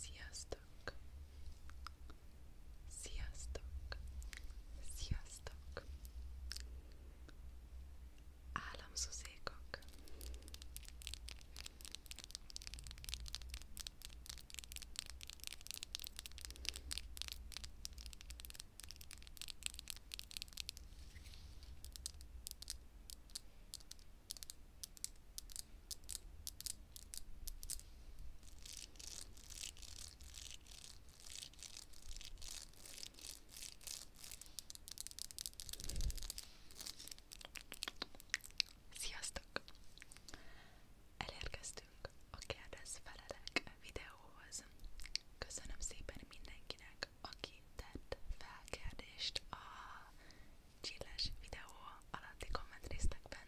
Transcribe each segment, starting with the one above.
Sziasztok! Sziasztok! Sziasztok! Államszuzékok! Sziasztok! Elérkeztünk a Kérdez Felelek videóhoz. Köszönöm szépen mindenkinek, aki tett fel kérdést a chilles videó alatti komment részekben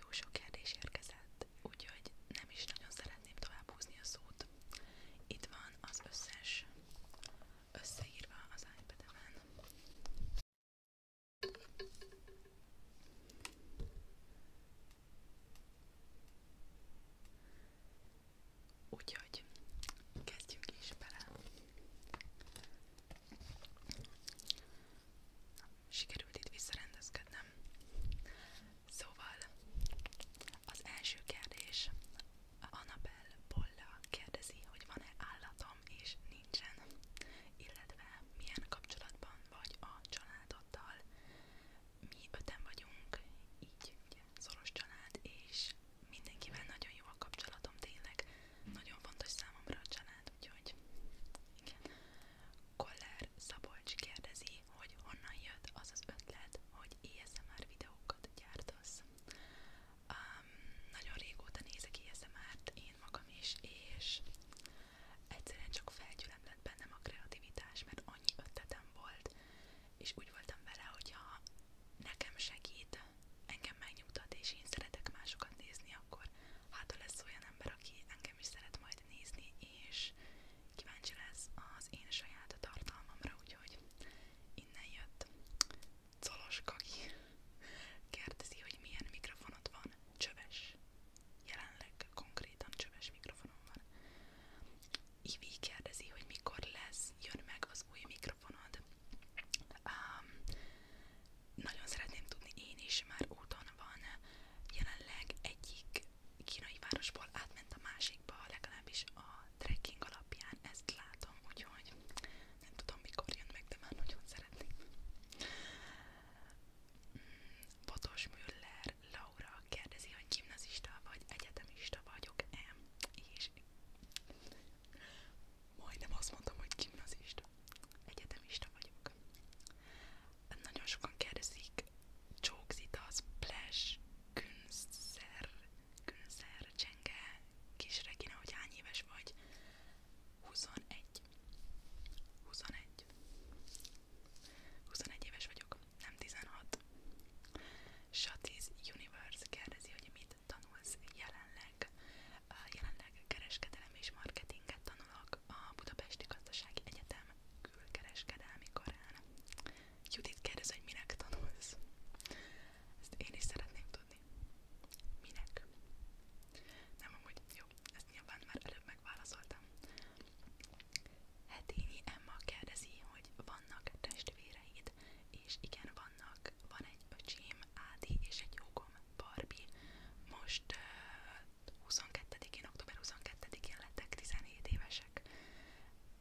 jó sok kérdés érkezett, úgyhogy nem is nagyon szeretném tovább húzni a szót. Itt van az összes összeírva az iPad-en. Úgyhogy kezdjünk is bele. Na, sikerült itt visszarendezkednem. Szóval az első kérdés. Anabel Bolla kérdezi, hogy van-e állatom, és nincsen, illetve milyen kapcsolatban vagy a családoddal. Mi öten vagyunk, így ugye, szoros család, és mindenkivel nagyon jó a kapcsolatom, tényleg nagyon fontos számomra a család, úgyhogy igen. Koller Szabolcs kérdezi, hogy honnan jött az az ötlet, hogy ASMR er videókat gyártasz. Um, nagyon régóta nézek ASMR-t én magam is, és egyszerűen csak felgyülem lett bennem a kreativitás, mert annyi ötletem volt, és úgy voltam vele, hogyha nekem segít, engem megnyugtat, és én szeretek másokat nézni, akkor hátul lesz olyan ember, aki engem is szeret majd nézni, és kíváncsi lesz az én saját tartalmamra, úgyhogy innen jött Colos Kagi kérdezi, hogy milyen mikrofonod van, csöves. Jelenleg konkrétan csöves mikrofonom van. Ivi kérdezi, hogy mikor lesz, jön meg a az új mikrofonod. Um, nagyon szeretném tudni én is, már úton van. Jelenleg egyik kínai városból átment a másikba, legalábbis a trekking alapján ezt látom, úgyhogy nem tudom mikor jön meg, de már nagyon szeretném. Mm, Botos Müller Laura kérdezi, hogy gimnazista vagy egyetemista vagyok-e, és majdnem azt mondtam, hogy gimnazista, egyetemista vagyok. Nagyon sokan kérdezik, csókzita, splash, günszer, günszer, csenge, kis Regina, hogy hány éves vagy? 21. 21. 21 éves vagyok, nem 16. Satis Universe kérdezi, hogy mit tanulsz jelenleg? Jelenleg kereskedelem és marketinget tanulok a Budapesti Gazdasági Egyetem külkereskedelmi karán. Judit kérdez, hogy minek tanulsz? Ezt én is szeretném tudni. Minek? Nem amúgy, jó, ezt nyilván már előbb megválaszoltam. Hetényi Emma kérdezi, hogy vannak testvéreid, és igen, vannak, van egy öcsém, Ádi, és egy jogom, Barbie. Most uh, 22-én, október 22-én lettek 17 évesek.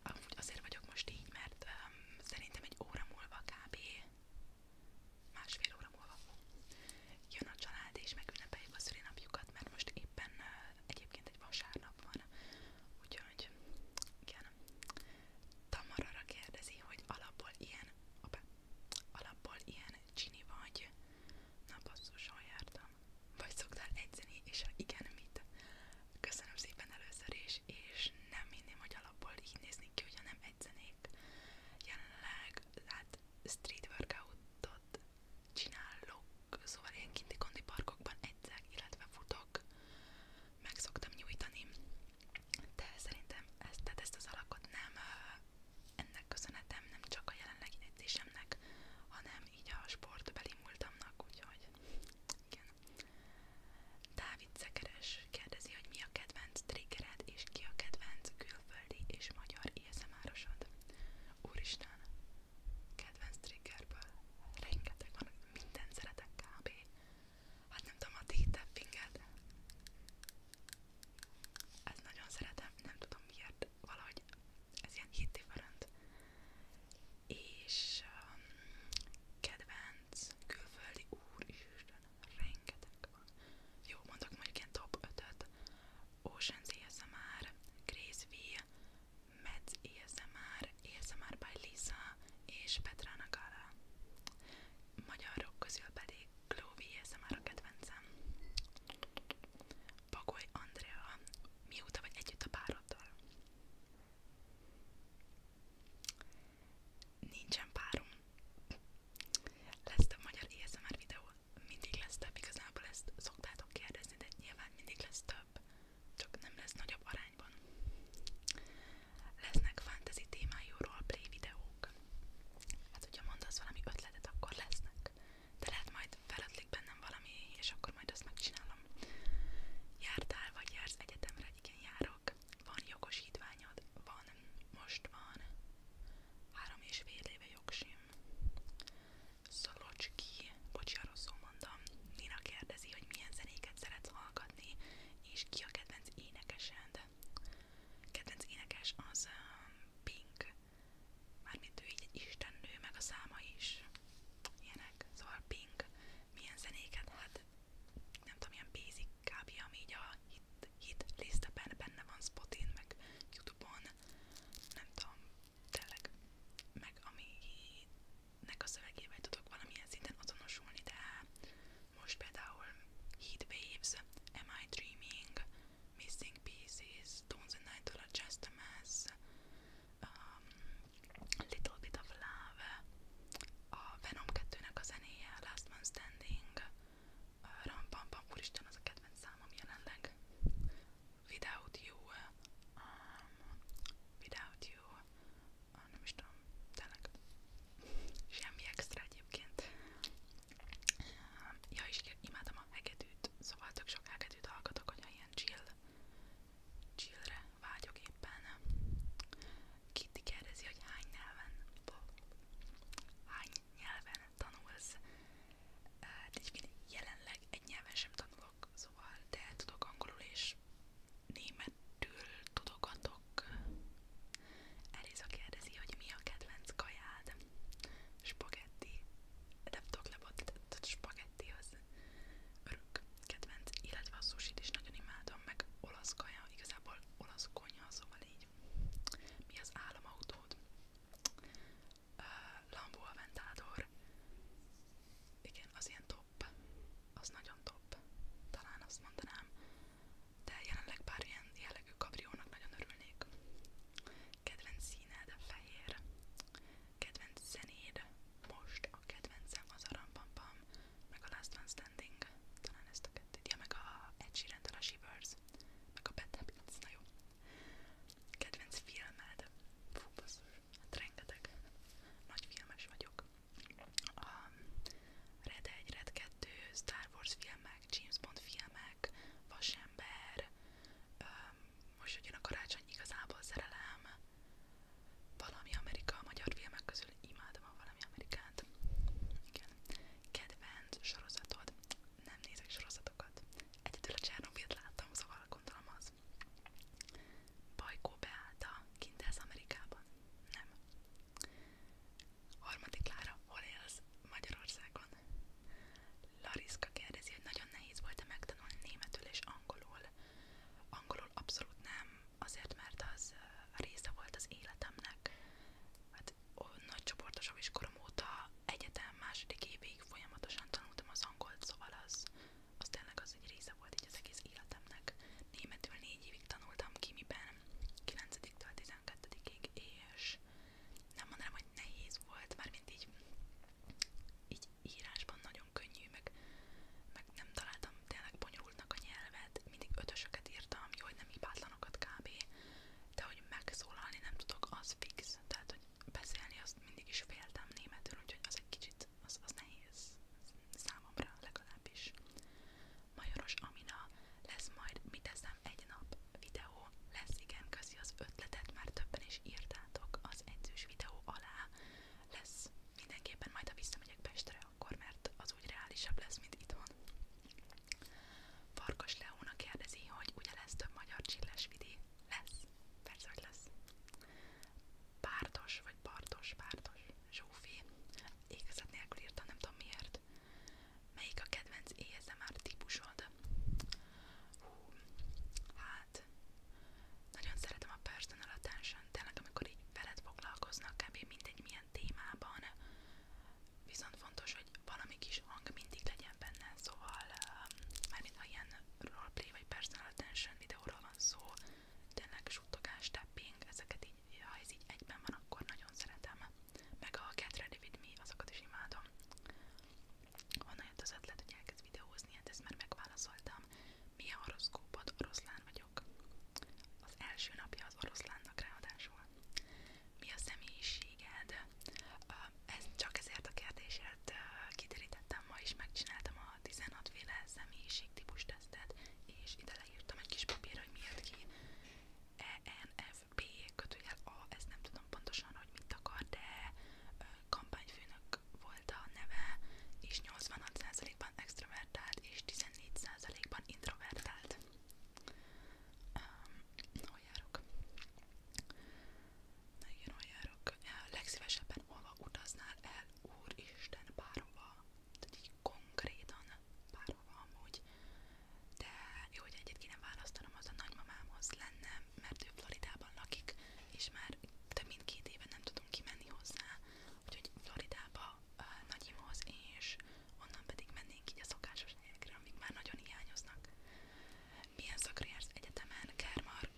Amúgy azért vagyok most így, mert um, szerintem egy óra múlva kb. másfél óra múlva jön a család, és megünnepeljük a szülinapjukat, mert most éppen uh, egyébként egy vasárnap van. Úgyhogy igen, Tamarara kérdezi, hogy alapból ilyen, opá, alapból ilyen csini vagy. Na basszuson jártam. Vagy szoktál egyzeni, és ha igen, mit? Köszönöm szépen először is, és nem hinném, hogy alapból így nézni ki, hogyha nem egyzenék. Jelenleg, hát street workoutot csinálok, szóval ilyen kinti kondi parkokban egyzek, illetve futok meg szoktam nyújtani, de szerintem ezt, tehát ezt az alakot nem ennek köszönhetem, nem csak a jelenlegi edzésemnek, hanem így a sportbeli múltamnak, úgyhogy igen. Dávid Szekeres kérdezi, hogy mi a kedvenc triggered, és ki a kedvenc külföldi és magyar ASMR-osod. Úristen, kedvenc triggerből rengeteg van, mindent szeretek kb. Hát nem tudom, a T-tappinget. Ezt nagyon szeretem, nem tudom miért, valahogy ez ilyen hit different. És um, kedvenc külföldi úristen, rengeteg van. Jó, mondok mondjuk ilyen top 5-öt. Ocean's ASMR, Grace V, Mads ASMR, ASMR, ASMR és Petra Nagara. Magyarok közül pedig Glóvi ASMR a kedvencem. Andrea, mióta vagy együtt a pároddal? Nincsen párom. Lesz több magyar ASMR videó? Mindig lesz több, igazából ezt szoktátok kérdezni, de nyilván mindig lesz több tovább, csak nem lesz nagyobb arányban. Lesznek fantasy témájú roleplay videók. Hát, hogyha mondasz valami ötletet, akkor lesznek. De lehet majd feladlik bennem valami, és akkor majd azt megcsinálom. Jártál, vagy jársz egyetemre? Igen, járok. Van jogosítványod? Van. Most van. Három és fél éve jogsim. Szolocski, bocs, arról szó mondom. Nina kérdezi, hogy milyen zenéket szeretsz hallgatni megkapni, és ki a kedvenc énekesed. Kedvenc énekes az um, Pink, mármint ő így egy istennő, meg a száma is. Ilyenek, szóval Pink. Milyen zenéket? Hát nem tudom, ilyen basic kb. ami így a hit, hit listeben benne van Spotin, meg Youtube-on, nem tudom, tényleg, meg ami nek a szövegével tudok valamilyen szinten azonosulni, de most például Heat Waves, Am I Dreaming, Missing Pieces, Stones and Night or Just a Mess, um, Little Bit of Love, a Venom 2-nek a zenéje, Last Man Standing, Ram Pam Pam, úristen, az a kedvenc számom jelenleg, Without You, um, Without You, ah, nem is tudom, tényleg semmi extra egyébként. Ja, és imádom a hegedűt, szóval tök sok hegedűt hallgatok, hogyha ilyen chill, chillre vágyok éppen. Kitty kérdezi, hogy hány nyelven, hány nyelven tanulsz. Hát így jelenleg egy nyelven sem tanulok, szóval de tudok angolul és németül tudogatok. Eliza kérdezi, hogy mi a kedvenc kajád. Spagetti. Nem tudok lebotítani, spagetti az örök kedvenc, illetve a sushit is nagyon imádom, meg olasz kaja, igazából olasz konyha, szóval így. Mi az államautód? Uh, Lambo Aventador. Igen, az ilyen top top. Az nagyon top. Talán azt mondanám. De jelenleg pár ilyen jellegű kabriónak nagyon örülnék. Kedvenc színed fehér. Kedvenc zenéd. Most a kedvencem az a Rampampam, meg a Last One Standing. Talán ezt a kettőt. Ja, meg a Ed Sheeran-től a Shivers, meg a Bad Habits. Na jó. Kedvenc filmed. Fú, basszus. Hát rengeteg. Nagy filmes vagyok a um, Red 1, Red 2, Star Wars filmek, James Bond filmek, Vasember, um, most jön a karácsony igazából szerelem, valami Amerika, a magyar filmek közül imádom a valami Amerikát. Igen. Kedvenc sorozatod. Nem nézek sorozatokat. Egyedül a Csernobylt láttam, szóval gondolom az. Bajkó Beáta kint ez Amerikában? Nem. Harmadik Lára, hol élsz Magyarországon? Lariska kérdezi, hogy nagyon nehéz volt-e megtanulni németül és angolul. Angolul abszolút nem, azért mert az része volt az életemnek. Hát nagy csoportosabb iskorom óta egyetem második évig folyamatosan tanultam az angolt, szóval az az tényleg az egy része volt így az egész életemnek. Németül négy évig tanultam kimiben, 9-től 12-ig, és nem mondanám, hogy nehéz volt, mármint így, így írásban nagyon könnyű, meg, meg nem találtam tényleg bonyolultnak a nyelvet, mindig ötösöket írtam, jó, hogy nem hibátlanokat kb. De hogy megszólalni nem tudok, az fix. Tehát, hogy beszélni azt mindig is féltem németül, úgyhogy az egy kicsit hát az, az nehéz számomra legalábbis. Majoros Amina, lesz majd mit teszem egy nap videó, lesz igen, közi az ötletet, már többen is írtátok az edzős videó alá, lesz mindenképpen majd, ha visszamegyek Pestre akkor, mert az úgy reálisabb lesz, mint itthon. Farkas Leóna kérdezi, hogy ugye lesz több magyar csilles vidi? Lesz. Persze, hogy lesz. Pártos, vagy Bartos, Pártos, Zsófi, égezet nélkül írta, nem tudom miért. Melyik a kedvenc ASMR típusod? Hú, hát, nagyon szeretem a personal attention, tényleg amikor így veled foglalkoznak, kb. mindegy milyen témában, viszont fontos, hogy valami kis hang mindig legyen benne, szóval, um, mármint ha ilyen roleplay vagy personal attention videóról van szó, Tényleg suttogás, tapping, ezeket így, ha ez így egyben van, akkor nagyon szeretem. Meg a Get Ready With Me, azokat is imádom. Honnan jött az ötlet, hogy elkezd videózni, hát ezt már megválaszoltam. Mi a horoszkópod? Oroszlán vagyok. Az első napja az oroszlánnak ráadásul. Mi a személyiséged? Ezt csak ezért a kérdésért kiterítettem ma is, megcsináltam a a 16 féle személyiségtípus tesztet, és ide leírtam egy kis papírra, hogy mi jött ki. ENFP kötőjel A, ezt nem tudom pontosan, hogy mit akar, de kampányfőnök volt a neve, és 86%-ban extrovertált, és 14%-ban introvertált. Um, hol járok? igen, hol járok, legszívesebben hova utaznál el, úristen, bárhova, tehát így konkrétan bárhova amúgy, de jó, hogy egyet kéne választanom, az a nagymamámhoz lenne, mert ő Floridában lakik, és már több mint két éve nem tudunk kimenni hozzá, úgyhogy Floridába a nagyimhoz, és onnan pedig mennénk így a szokásos helyekre, amik már nagyon hiányoznak. Milyen szakra jársz egyetemen, Kermark?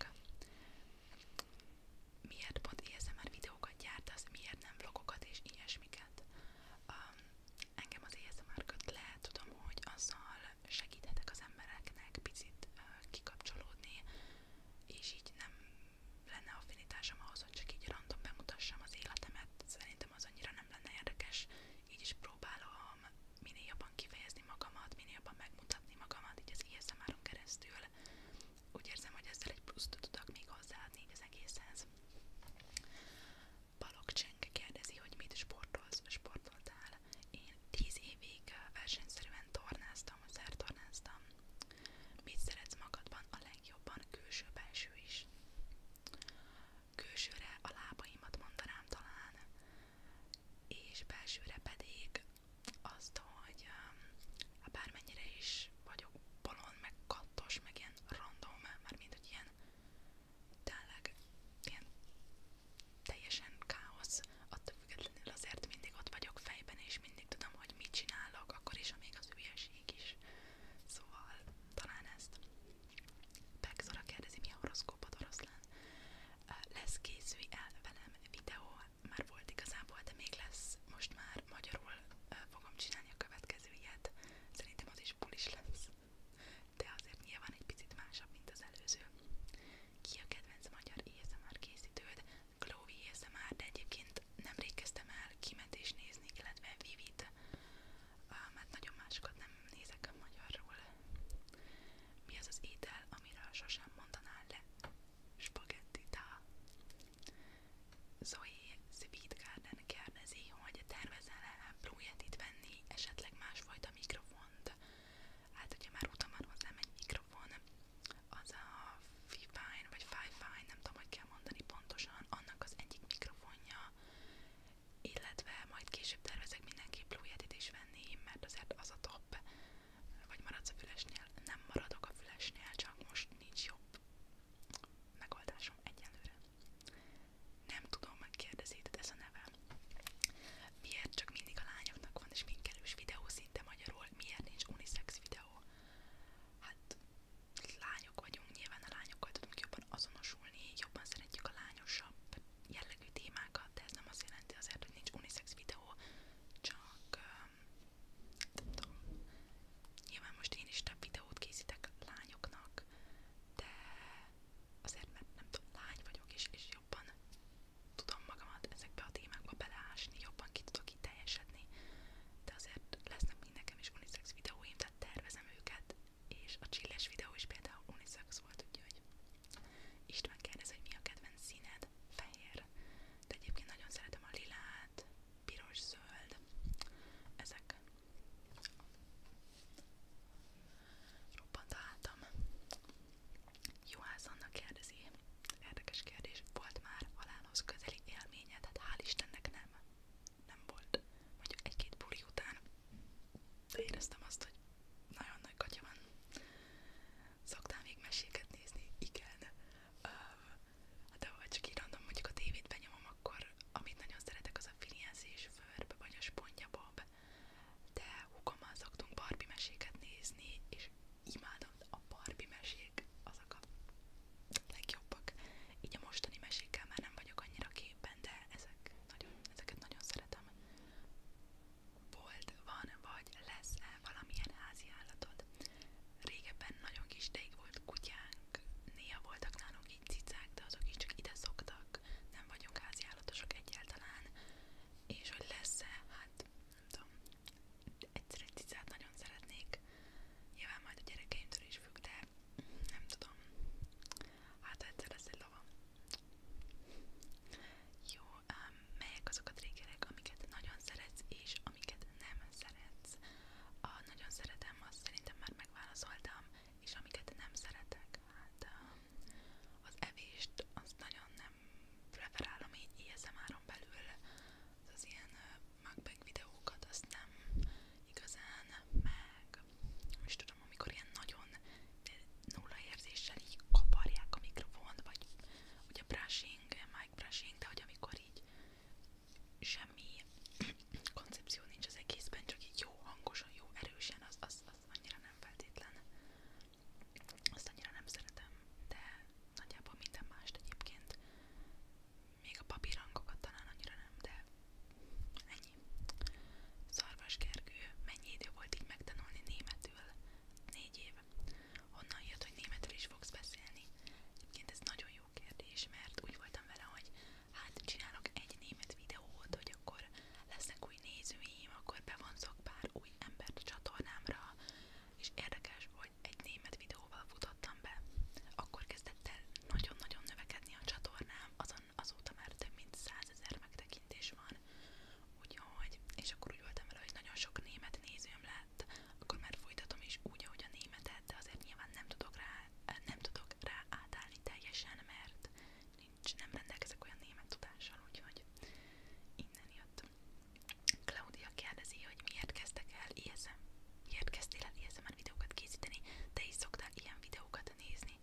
miért pont ASMR videókat gyártasz, miért nem vlogokat és ilyesmiket. Um, engem az ASMR köt le, tudom, hogy azzal segíthetek az embereknek picit uh, kikapcsolódni, és így nem lenne affinitásom ahhoz, hogy csak így random bemutassam az életemet, szerintem az annyira nem lenne érdekes, így is próbálom minél jobban kifejezni kifejezni magamat, minél jobban megmutatni magamat, így az ISMR-on keresztül. Úgy érzem, hogy ezzel egy pluszt tudok még hozzáadni így az egészhez. Balogh Cseng kérdezi, hogy mit sportolsz, sportoltál. Én 10 évig versenyszerűen tornáztam, szertornáztam. Mit szeretsz magadban? A legjobban külső-belső is. Külsőre a lábaimat mondanám talán, és belsőre pedig azt, hogy um, hát bármennyire is vagyok bolond, meg kattos, meg ilyen random, már mint hogy ilyen tényleg ilyen teljesen káosz, attól függetlenül azért mindig ott vagyok fejben, és mindig tudom, hogy mit csinálok, akkor is, amíg az hülyeség is. Szóval talán ezt. Pegzora kérdezi, mi a horoszkópod oroszlán? Lesz készülj el velem videó már volt igazából, de még lesz, most már magyarul uh, fogom csinálni a következő ilyet, szerintem az is bulis lesz, de azért nyilván egy picit másabb, mint az előző. Ki a kedvenc magyar ASMR er készítőd? Chloe ASMR, er, de egyébként nemrég kezdtem el kimet és nézni, illetve Vivit, uh, mert nagyon másokat nem nézek a magyarról. Mi az az étel, amiről sosem mondanál le? Spagetti tál. Zoe Sweet Garden kérdezi, hogy tervezel-e itt venni, esetleg másfajta mikrofont. Hát, hogyha már utam van hozzám egy mikrofon, az a Fifine vagy Fifine, nem tudom, hogy kell mondani pontosan, annak az egyik mikrofonja, illetve majd később tervezek mindenképp Blue Yetit is venni, mert azért az a top, vagy maradsz a fülesnél, nem maradok a fülesnél, csak most nincs jobb megoldásom egyelőre. Nem tudom, megkérdezi, ez a neve. Miért csak mindig a lányoknak van, és minkelős videó szinte magyarul, miért nincs unisex videó? Hát lányok vagyunk, nyilván a lányokkal tudunk jobban azonosulni, jobban szeretjük a lányosabb jellegű témákat, de ez nem azt jelenti azért, hogy nincs unisex videó, csak nem tudom, nyilván most én is több videót készítek lányoknak, de azért, mert nem tudom, lány vagyok, és, és jobban tudom magamat ezekbe a témákba beleásni, jobban ki tudok itt teljesedni, de azért lesznek mind nekem is unisex videóim, tehát tervezem őket, és a csilles videó is például unisex volt, úgyhogy István kérdez, hogy mi a kedvenc színed? Fehér. De egyébként nagyon szeretem a lilát, piros, zöld. Ezek. Robbant álltam. Juhász Anna kérdezi. Érdekes kérdés. Volt már halálhoz közeli élményed? Hát hál' Istennek nem. Nem volt. Mondjuk egy-két buli után. De éreztem azt, hogy nagyon nagy katya van. Szoktál még meséket nézni? Igen. Uh, de ha csak így random, mondjuk a tévét benyomom, akkor amit nagyon szeretek, az a Finienzés Förb, vagy a Spontja Bob. De húgommal szoktunk Barbie meséket nézni, és imádom a Barbie mesék, azok a legjobbak. Így a mostani mesékkel már nem vagyok annyira képben, de ezek nagyon, ezeket nagyon szeretem volt, van vagy lesz-e valamilyen házi állatod. Régebben nagyon kis ideig volt kutyánk, néha voltak nálunk így cicák, de azok is csak ide szoktak, nem vagyunk házi állatosok egyáltalán, és hogy lesz-e, hát nem tudom, egyszer egy cicát nagyon szeretnék, nyilván majd a gyerekeimtől is függ, de nem tudom, hát egyszer lesz egy lava. Jó, um, melyek azok a triggerek, amiket nagyon szeretsz, és amiket nem szeretsz? A nagyon szeretem, azt szerintem már megválaszoltam, és amiket nem szeretek, hát um, az evést, azt nagyon nem preferálom így ASMR-on belül, az, az ilyen uh, mukbang videókat azt nem igazán meg, most tudom, látom, amikor ilyen nagyon nulla érzéssel így kaparják a mikrofont, vagy ugye brushing, mic brushing, de hogy amikor így semmi koncepció nincs az egészben, csak így jó hangosan, jó erősen, az, az, az annyira nem feltétlen. Azt annyira nem szeretem, de nagyjából minden mást egyébként. Még a papírhangokat talán annyira nem, de ennyi. Szarvaskergő, mennyi idő volt így megtanulni németül? keresztül négy év. Honnan jött, hogy németül is fogsz beszélni? Egyébként ez nagyon jó kérdés, mert úgy voltam vele, hogy hát csinálok egy német videót, hogy akkor lesznek új nézőim, akkor bevonzok pár új embert a csatornámra, és érdekes, hogy egy német videóval futottam be. Akkor kezdett el nagyon-nagyon növekedni a csatornám, azon azóta már több mint százezer megtekintés van, után. Úgyhogy, és akkor úgy voltam vele, hogy nagyon sok német nézőm lett, akkor már folytatom is úgy, ahogy a németet, de azért nyilván nem tudok rá, nem tudok rá átállni teljesen, mert nincs, nem rendelkezek olyan német tudással, úgyhogy innen jött. Claudia kérdezi, hogy miért kezdtek el ISM, miért kezdtél el ISM-en videókat készíteni, te is szoktál ilyen videókat nézni.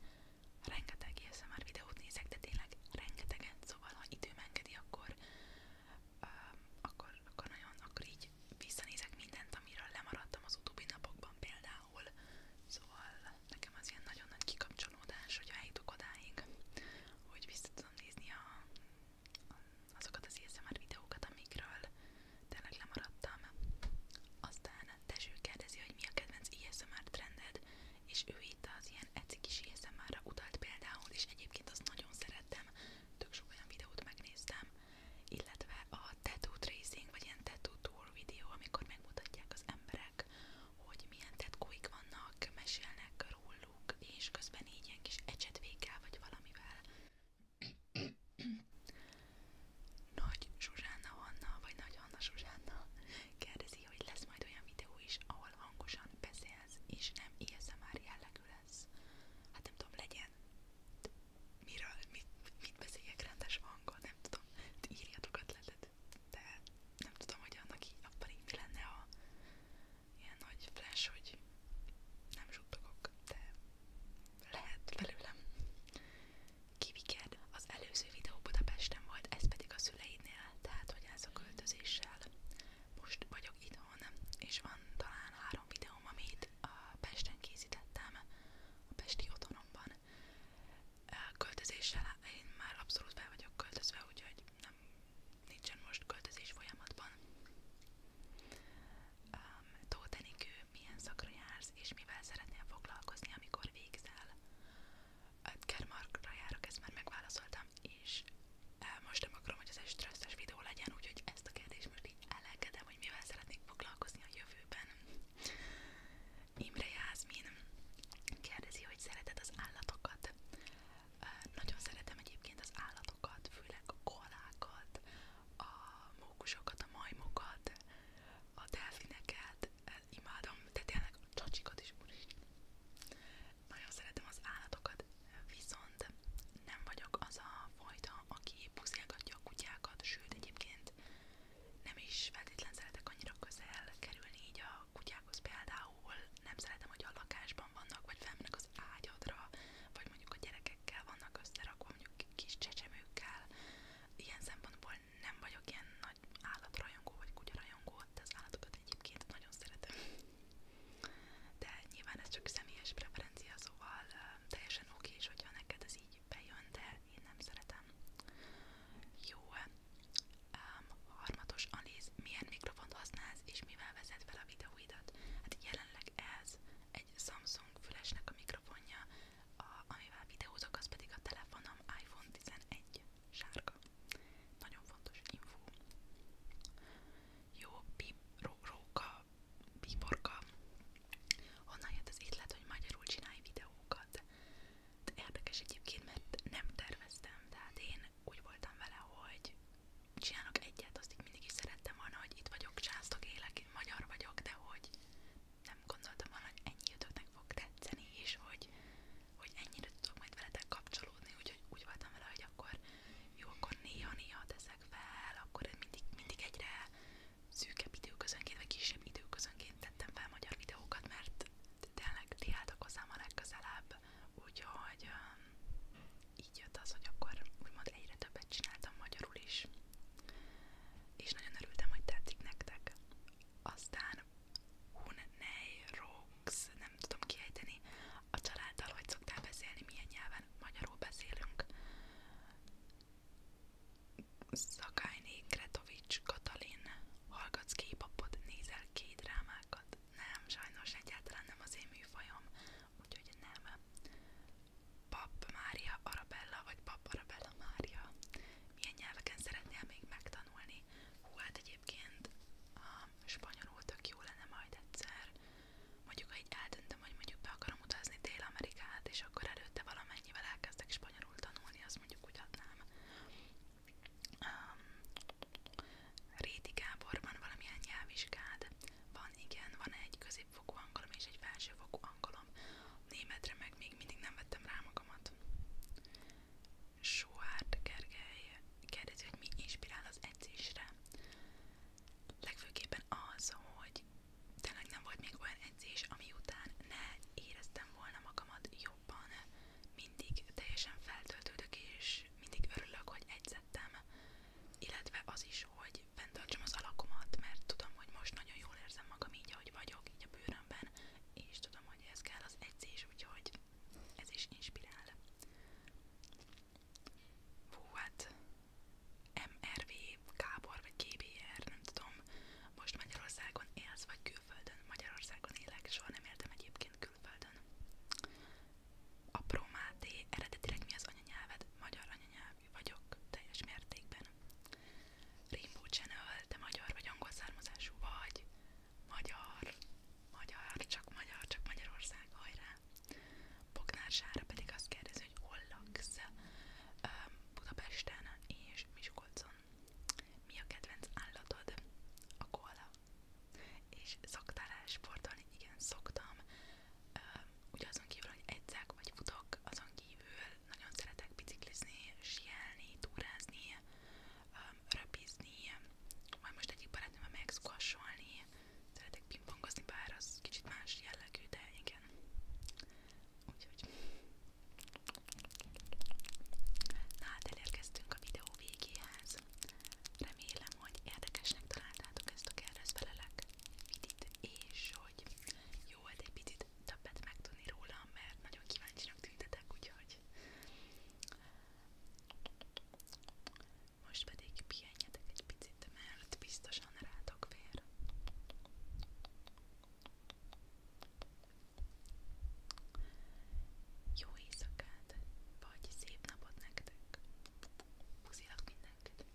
Rengeteg ASMR er videót nézek, de tényleg rengeteget, szóval ha időm engedi, akkor, uh, akkor, akkor nagyon, akkor így visszanézek mindent, amiről lemaradtam az utóbbi napokban például. Szóval nekem az ilyen nagyon nagy kikapcsolódás, hogyha eljutok odáig, hogy vissza tudom nézni a, a, azokat az ASMR er videókat, amikről tényleg lemaradtam. Aztán Tezső kérdezi, hogy mi a kedvenc ASMR er trended és ő itt az ilyen eci kis már utalt például, és egyébként azt nagyon szerettem, tök sok olyan videót megnéztem, illetve a tattoo tracing, vagy ilyen tattoo tour videó, amikor megmutatják az emberek, hogy milyen tetkóik vannak, mesélnek róluk, és közben így ilyen kis ecsetvékkel, vagy valamivel. Nagy Zsuzsánna Anna, vagy Nagy Anna Zsuzsánna kérdezi tervezi, hogy lesz majd olyan videó is, ahol hangosan beszélsz, és nem ASMR er jellegű lesz. Hát nem tudom, legyen. Miről, mit, mit beszéljek rendes hangon, nem tudom. Írjatok ötletet, de nem tudom, hogy annak így, abban így mi lenne a ilyen nagy flash, hogy nem zsuttogok, de lehet belőlem. Kiviked, az előző videó Budapesten volt, ez pedig a szüleidnél, tehát hogy ez a költözéssel. Most vagyok itthon, és van talán három videóm, amit a Pesten készítettem, a Pesti otthonomban. Költözéssel én már abszolút be vagyok költözve, úgyhogy nem, nincsen most költözés folyamatban. Um, Tóth Enikő, milyen szakra jársz, és mivel szeretnél foglalkozni, amikor végzel? Kermarkra járok, ezt már megválaszoltam, és e, most nem akarom, hogy ez egy stresszes videó legyen, úgyhogy ezt a kérdést most így elengedem, hogy mivel szeretnék foglalkozni a jövőben. Imre Jászmin kérdezi, hogy szereted az állatokat. E, nagyon szeretem egyébként az állatokat, főleg a koalákat, a mókusokat, a majmokat, a delfineket, imádom, tehát tényleg a csacsikat is úris. Nagyon szeretem az állatokat, viszont nem vagyok az a fajta, aki puszilgatja a kutyákat, sőt egyébként nem is feltétlen szeretek annyira közel kerülni így a kutyákhoz például. Nem szeretem, hogy a lakásban vannak, vagy felmennek az ágyadra, vagy mondjuk a gyerekekkel vannak összerakva, mondjuk kis csecsemőkkel. Ilyen szempontból igazából nem vagyok ilyen nagy állatrajongó vagy kutyarajongó, de az állatokat egyébként nagyon szeretem. De nyilván ez csak személyes preferencia, szóval uh, teljesen oké is, hogyha neked ez így bejön, de én nem szeretem. Jó. Um, harmatos, Aliz, milyen mikrofont használsz és mivel vezet fel a videóidat? Hát jelenleg ez egy Samsung fülesnek a mikrofonja, a, amivel videózok, az pedig a telefonom iPhone 11 sárga. Nagyon fontos info. Jó, pip, ró, róka, piporka. Honnan jött az étlet, hogy magyarul csinálj videókat? De érdekes egyébként, mert nem terveztem, tehát én úgy voltam vele, hogy csinálok egyet, azt így mindig is szerettem volna, hogy itt vagyok, császtok, élek, én magyar vagyok, de hogy nem gondoltam volna, ennyi ötöknek fog tetszeni, és hogy, hogy ennyire tudok majd veletek kapcsolódni, úgyhogy úgy voltam vele, akkor jó, néha-néha teszek fel, akkor mindig, mindig egyre szűkebb időközönként, vagy kisebb időközönként tettem fel magyar videókat, mert tényleg ti álltak hozzám a legközelebb, úgyhogy um, így jött az, hogy akkor úgymond egyre többet csináltam magyarul is, és nagyon örültem, hogy tetszik nektek. Aztán Hunnei Rox, nem tudom kiejteni. A családdal hogy szoktál beszélni, milyen nyelven magyarul beszélünk. Szakályné Kretovics Katalin, hallgatsz képapot, nézel két drámákat. Nem, sajnos egyáltalán nem az én műfajom, úgyhogy nem. Pap Mária Arabella, vagy Pap Arabella Mária milyen nyelveken szeretnél még megtanulni. Hú, hát egyébként a spanyolul tök jó lenne majd egyszer. Mondjuk, ha így eldöntöm, hogy mondjuk be akarom utazni Dél-Amerikát, és akkor előtte valamennyivel elkezdek spanyolul tanulni, azt mondjuk úgy adnám. Um, Réti Gábor, van valamilyen nyelvvizsgád? Van, igen, van egy középfokú angolom és egy felsőfokú angolom németre meg még mindig nem vettem rá magamat. Suárd Gergely kérdezi, hogy mi inspirál az edzésre. Legfőképpen az, hogy tényleg nem volt még olyan edzés, ami után ne éreztem volna magamat jobban. Mindig teljesen feltöltődök, és mindig örülök, hogy edzettem. Illetve az is, hogy fenntartsam az alakomat, mert tudom, hogy most nagyon jól érzem magam így, ahogy vagyok, így a bőrömben, és tudom, hogy ez kell az edzés, úgyhogy ez is inspirál. Hú, hát MRV, Kábor vagy GBR, nem tudom, most Magyarországon élsz, vagy külföldön. Magyarországon élek, soha nem éltem egyébként külföldön. Apró Máté, eredetileg mi az anyanyelved? Magyar anyanyelvű vagyok, teljes mértékben. Rainbow Channel, te magyar vagy angol származású vagy, magyar, magyar, csak magyar, csak Magyarország, hajrá. Bognár Sára pedig azt kérdezi, hogy hol laksz Budapesten és Miskolcon. Mi a kedvenc állatod? A koala. És szoktál-e sportolni? Igen, szoktam. Ugye azon kívül, hogy edzek vagy futok, azon kívül nagyon szeretek biciklizni, sielni, túrázni, um, röpizni, majd most egyik barátnőmmel megszkassolni, szeretek pingpongozni, bár az kicsit más jellegű, de igen. Úgyhogy. Na hát elérkeztünk a videó végéhez. Remélem, hogy érdekesnek találtátok ezt a kérdezfelelek vidit, és hogy jó, hát egy picit majd többet megtudni rólam, mert nagyon kíváncsinak tüntetek, úgyhogy most pedig pihenjetek egy picit, mert biztosan rátok fér. Jó éjszakát, vagy szép napot nektek! Puszilak mindenkit!